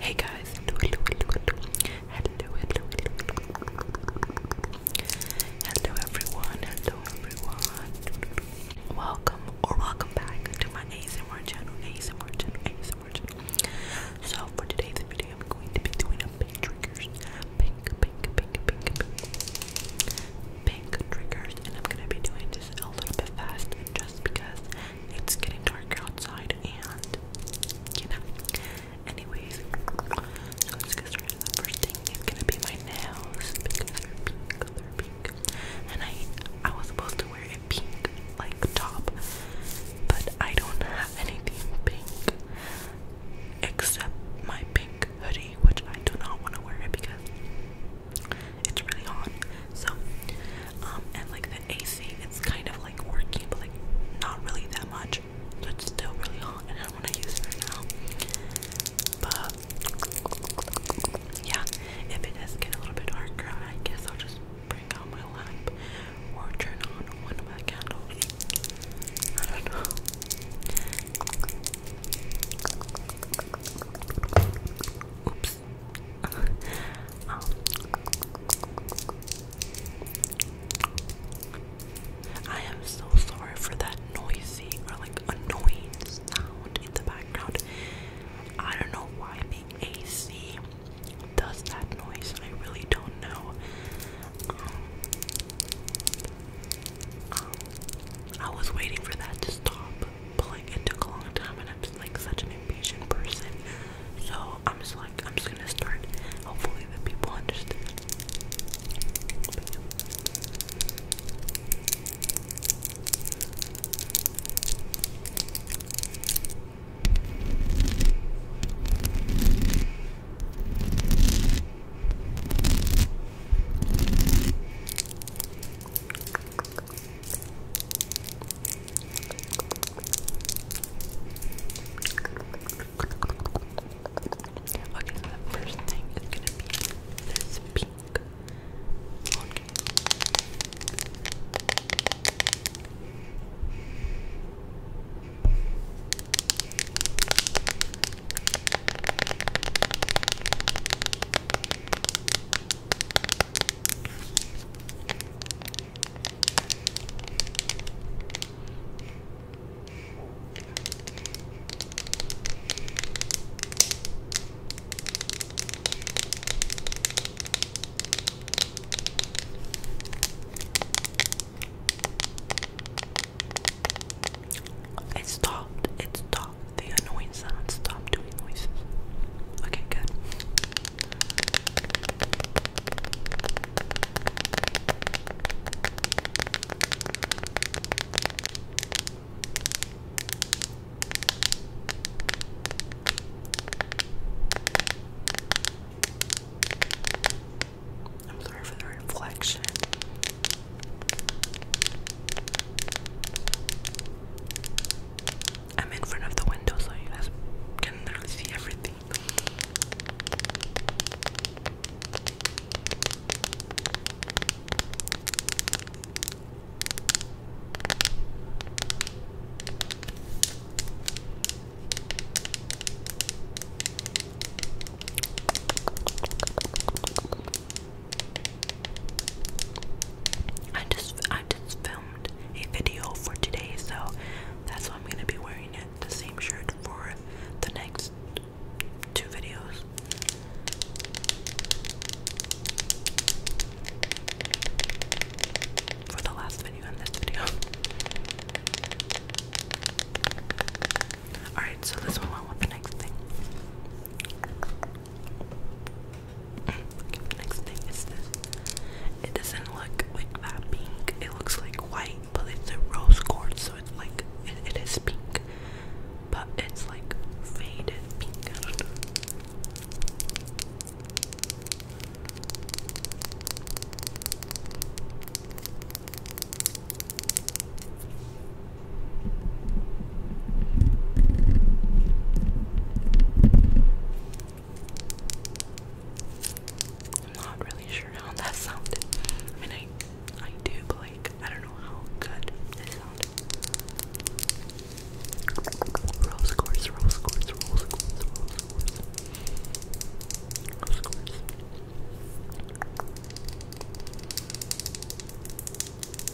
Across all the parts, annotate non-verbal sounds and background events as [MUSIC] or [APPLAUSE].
Hey guys, hello, hello, hello, everyone, hello everyone. Welcome or welcome back to my ASMR channel, ASMR channel, ASMR channel. So for today's video, I'm going to be doing a pink triggers, pink, pink, pink, pink, pink triggers, and I'm gonna be doing this a little bit fast, just because it's getting dark outside, and you know. Anyways, first thing is gonna be my nails because they're pink. and I I was supposed to wear a pink like top, but I don't have anything pink except my pink hoodie, which I do not want to wear because it's really hot. So um, and like the AC, it's kind of like working, but like not really that much. So it's still really hot, and I don't want to use it right now. But yeah, if it does get a little bit darker, I guess I'll just bring out my lamp or turn on one of my candles. I don't know. I am so sorry for that noisy or like annoying sound in the background. I don't know why the AC does that noise. I really don't know. Um, um, I was waiting for that to stop, but like it took a long time and I'm like such an impatient person. So I'm just like I'm just gonna start. Hopefully the people understand. Okay, so the first thing is gonna be this pink. Okay. Okay, it stopped. It stopped. The annoying sound stopped doing noises. Okay, good. I'm sorry for the reflection. I'm in front of the window so you can literally see everything. I just I just fell a video for today, so that's why I'm gonna be wearing the same shirt for the next two videos. For the last video and this video. [LAUGHS] Alright, so let's move on with the next thing next thing is this. It doesn't look like that pink. It looks like white, but it's a rose quartz, so it's like it is pink, but it's like faded pink. I'm not really sure how that sounded. I mean, I, I do, like, I don't know how good it sounded. Rose quartz, rose quartz, rose quartz, rose quartz. Rose quartz.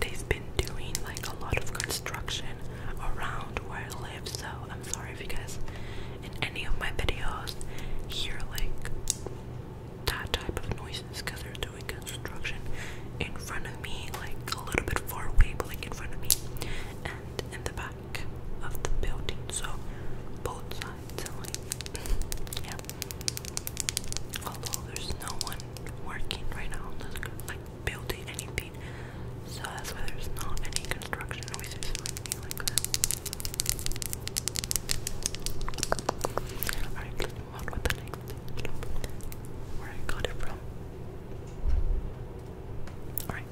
They've been doing like a lot of construction around where I live, so I'm sorry if you guys in any of my videos hear like that type of noises because they're doing construction in front of me, like a little bit far away, but like in front of me, and in the back of the building. So boats sides, and like [LAUGHS] yeah. Although there's no one working right now, there's like building anything, so that's why there's not any construction noises or anything like that. I Alright,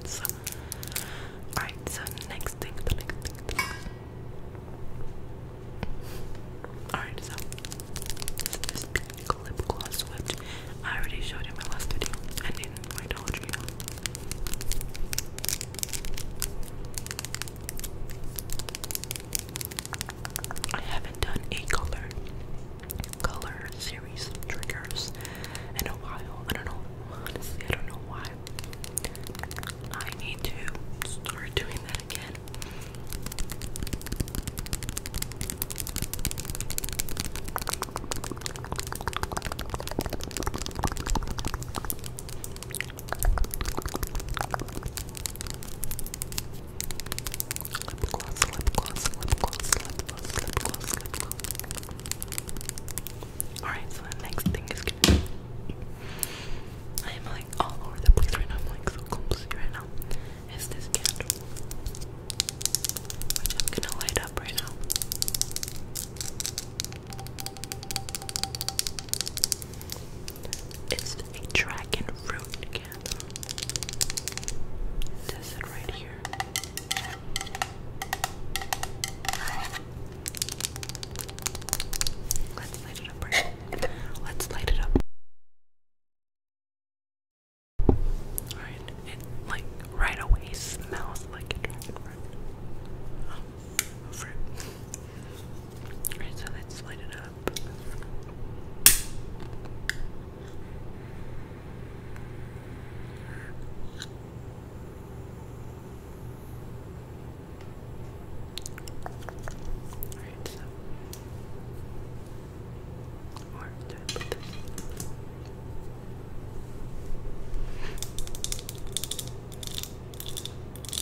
so, alright, so next thing, the next thing, Alright, so, this lip gloss whipped. I already showed in my last video and in my Dollar Tree. I haven't done a color color series triggers in a while. I don't know. I don't know why. I need to start doing that again. Alright, so the next thing is I am like all over the place right now. I'm like so clumsy right now. Is this candle? Which I'm gonna light up right now. It's a dragon fruit again. says it right here. Let's light it up right. Let's light it up. Alright, it like right away smells like a dragon fruit. Um, Alright, so let's light it up. Alright, so. Or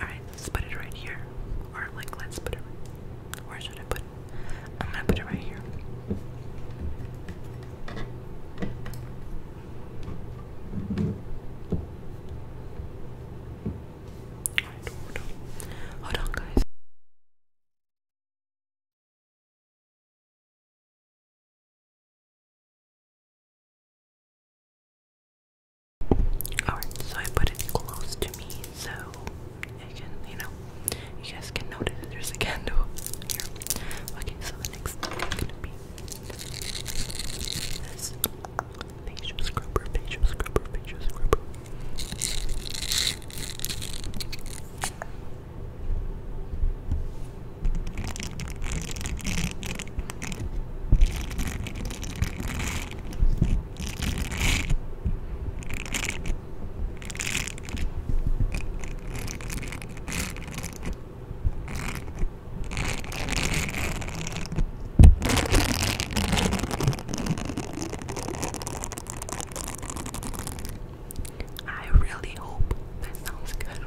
Alright, let's put it right here. Or, like, let's put it. Where should I put it? I'm gonna put it right here. Hold on, guys. Alright, so I put it close to me so you can, you know, you guys can notice there's a [LAUGHS] candle here. Okay, so the next thing is gonna be facial scrubber, facial scrubber, facial scrubber. I really hope that sounds good.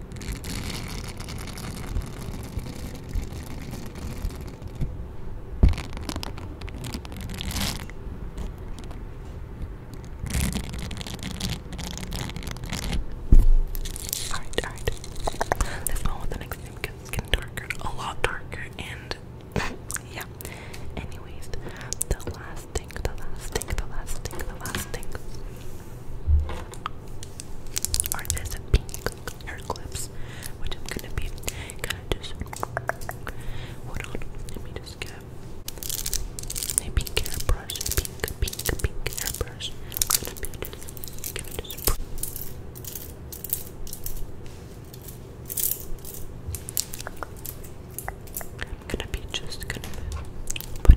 Alright, alright. Let's go on with the next thing because it's getting darker. A lot darker and [LAUGHS] yeah. Anyways, the last thing, the last thing, the last thing, the last thing. Are this pink hair clips, which I'm gonna be kind of just Let me just get a pink hairbrush, pink, pink, pink hairbrush. I'm gonna be just gonna be just gonna put clips.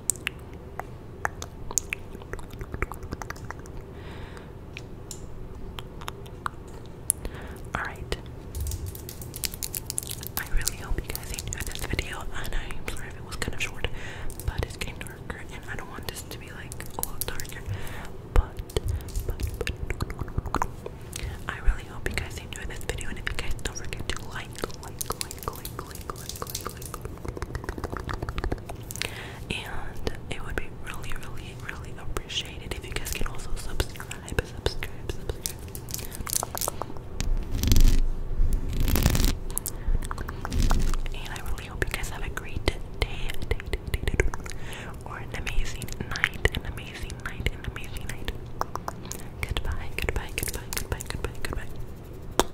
Alright. I really hope you guys enjoyed this video, and I'm sorry if it was kind of short, but it's getting darker, and I don't want this to be like a lot darker. But, but, but, I really hope you guys enjoyed this video, and if you guys don't forget to like, like, like, like, like, like, like, and it would be really, really, really appreciated if you guys can also subscribe, subscribe, subscribe. And I really hope you guys have a great day, day, day, or an amazing night, an amazing night, an amazing night. Goodbye, goodbye, goodbye, goodbye, goodbye, goodbye.